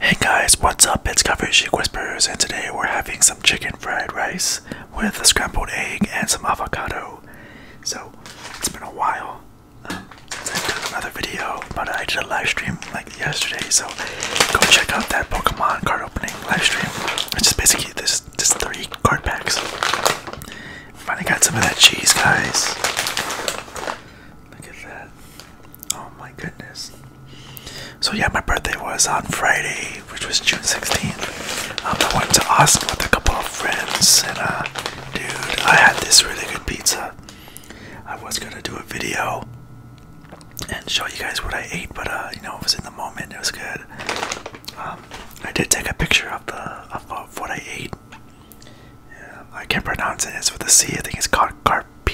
Hey guys, what's up? It's Cover Chic Whispers, and today we're having some chicken fried rice with a scrambled egg and some avocado. So, it's been a while um, since I've done another video, but I did a live stream like yesterday, so go check out that Pokemon card opening live stream, which is basically this, this three card packs. Finally got some of that cheese, guys. Look at that. Oh my goodness. So yeah, my birthday was on Friday, which was June 16th. Um, I went to Austin with a couple of friends, and uh, dude, I had this really good pizza. I was gonna do a video and show you guys what I ate, but uh, you know, it was in the moment. It was good. Um, I did take a picture of the of, what I ate. Um, I can't pronounce it. It's with a C. I think it's called carpe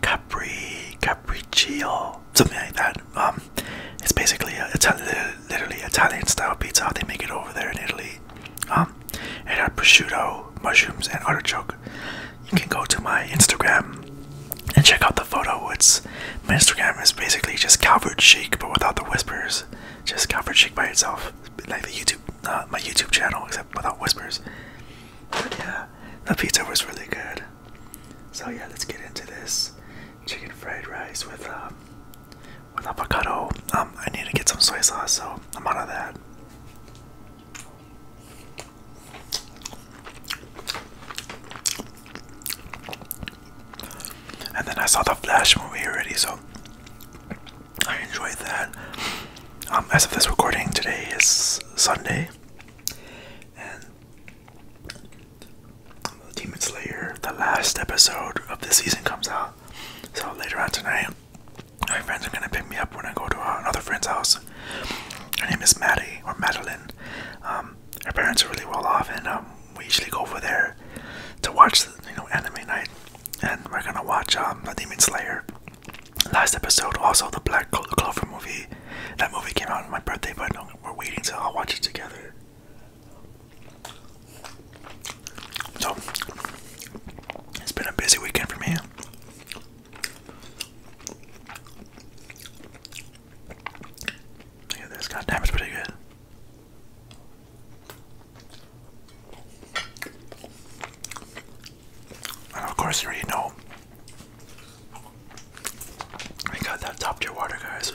Capri, Capriccio, something like that. Um, it's basically a, literally Italian style pizza. they make it over there in Italy. Um, it had prosciutto, mushrooms, and artichoke. You can go to my Instagram and check out the photo. It's my Instagram is basically just Calvert Chic, but without the whispers. Just Calvert Chic by itself like the YouTube, uh, my YouTube channel, except without whispers. But yeah, the pizza was really good. So yeah, let's get into this chicken fried rice with um, with avocado. Um, I need to get some soy sauce, so I'm out of that. And then I saw the Flash movie already, so I enjoyed that. Um, as of this recording, today is Sunday, and Demon Slayer, the last episode of the season, comes out. So later on tonight, my friends are gonna pick me up when I go to uh, another friend's house. Her name is Maddie or Madeline. Um, her parents are really well off, and um, we usually go over there to watch, you know, anime night, and we're gonna watch the Demon Slayer last episode. Also, the Black Clover movie. That movie came out on my birthday, but we're waiting to. I'll watch it together. So, it's been a busy weekend for me. Look at this, goddamn, it's pretty good. And of course, you already know I got that top tier water, guys.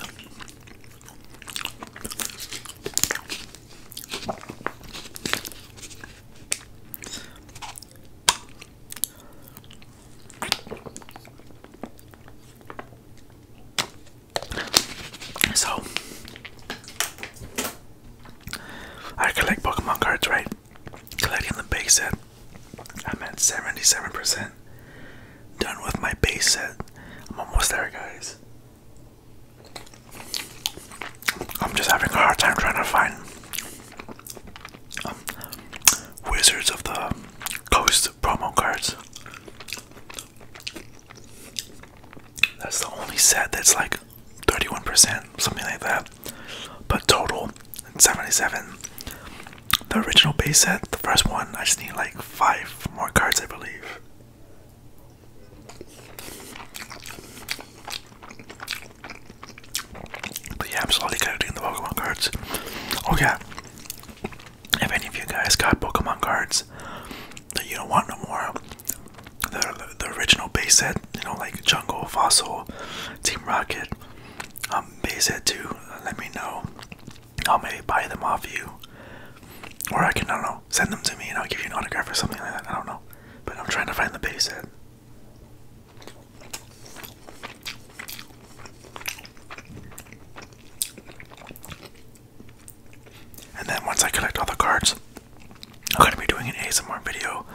So, I collect Pokemon cards, right? Collecting the base set. I'm at 77%. Done with my base set. I'm almost there, guys. I'm just having a hard time trying to find um, Wizards of the Coast promo cards. That's the only set that's like 31%, something like that. But total, 77. The original base set, the first one, I just need like five more cards, I believe. But yeah, I'm slowly collecting the Pokemon cards. Oh yeah, if any of you guys got Pokemon cards that you don't want no more, the the original base set, you know, like Jungle, Fossil, Team Rocket, um, base set too. Uh, let me know. I may buy them off you, or I can I don't know send them to me and I'll give you an autograph or something like that. I don't know, but I'm trying to find the base set. And then once I collect all the cards, I'm going to be doing an ASMR video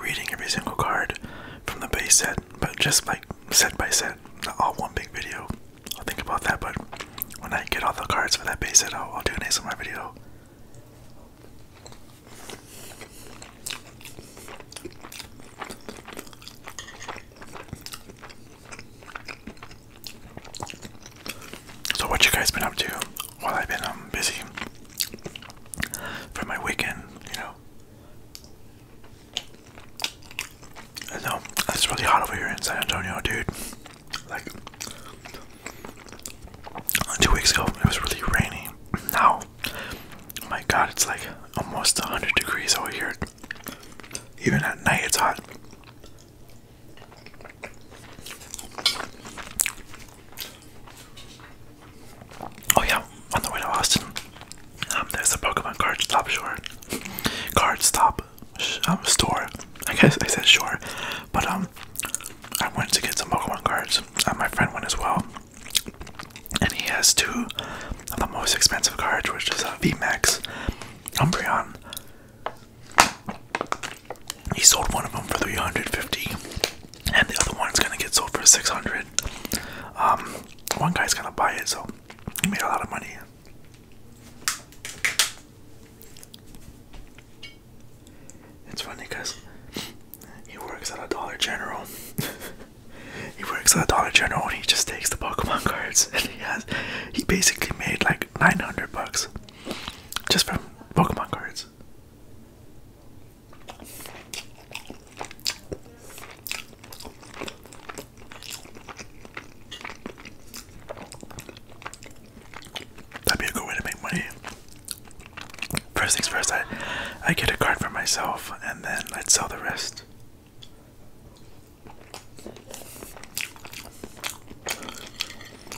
reading every single card from the base set, but just like set by set, not all one big video. I'll think about that, but when I get all the cards for that base set, I'll, I'll do an ASMR video. So what you guys been up to while I've been um, busy for my weekend, you know? I know it's really hot over here in San Antonio, dude. Like two weeks ago, it was really rainy. Now, my God, it's like almost 100 degrees over here. Even at night, it's hot. Oh yeah, on the way to Austin, um, there's a Pokemon card stop short Card stop um, store. I guess I said short, but um, I went to get some Pokemon cards. Uh, my friend went as well, and he has two of the most expensive cards, which is a uh, VMAX Umbreon he sold one of them for 350 and the other one's gonna get sold for 600 um, one guy's gonna buy it so he made a lot of money it's funny because he works at a dollar general he works at a dollar general and he just takes the pokemon cards and he has he basically made like 900 bucks just from Pokemon cards. That'd be a good way to make money. First things first, I I get a card for myself, and then I'd sell the rest.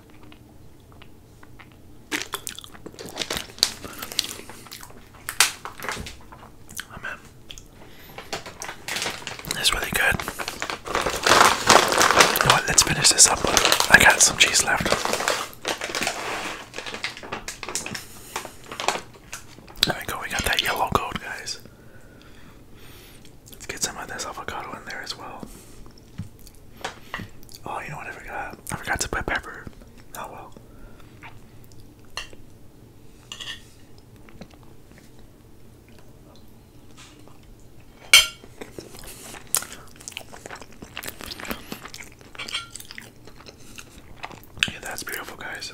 Oh It's really good. let's finish this up. I got some cheese left. There we go, we got that yellow gold, guys. Let's get some of this avocado in there as well. Oh, you know what I forgot? I forgot to put pepper. Oh well. Yeah, that's beautiful, guys.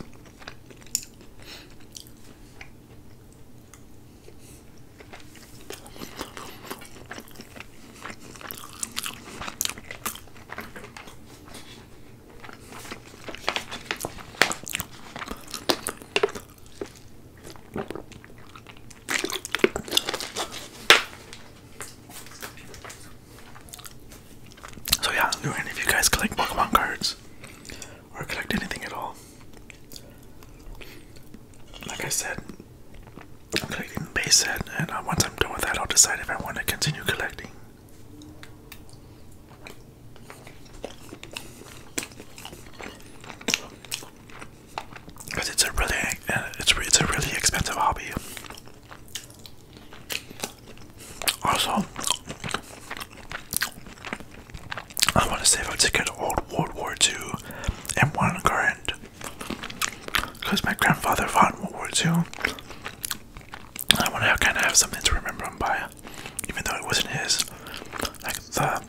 So yeah, do any of you guys collect Pokemon cards? Or collect anything at all? Like I said, I'm collecting base set, and uh, once I'm done with that, I'll decide if I want to continue collecting. Cause it's a really, uh, it's it's a really expensive hobby. Also, I want to save a ticket took old World War II and one current. Because my grandfather fought in World War II. I want to kind of have something to remember him by, even though it wasn't his. Like the,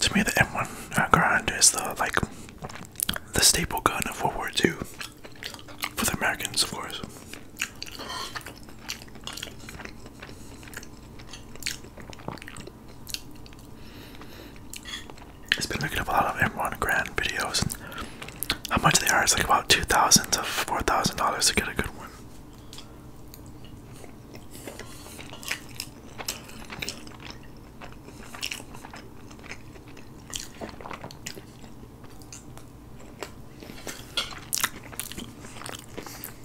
to me, the M1 uh, is the like the staple gun of World War II for the Americans, of course. It's been looking up a lot of M1 Grand videos how much they are. It's like about two thousand to four thousand dollars to get a good one.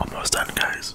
Almost done, guys.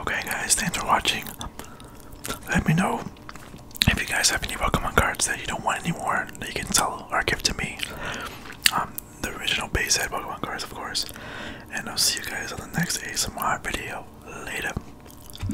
Okay, guys, thanks for watching. Let me know if you guys have any Pokemon cards that you don't want anymore that you can sell or give to me. Um, the original base set Pokemon cards, of course. And I'll see you guys on the next ASMR video. Later.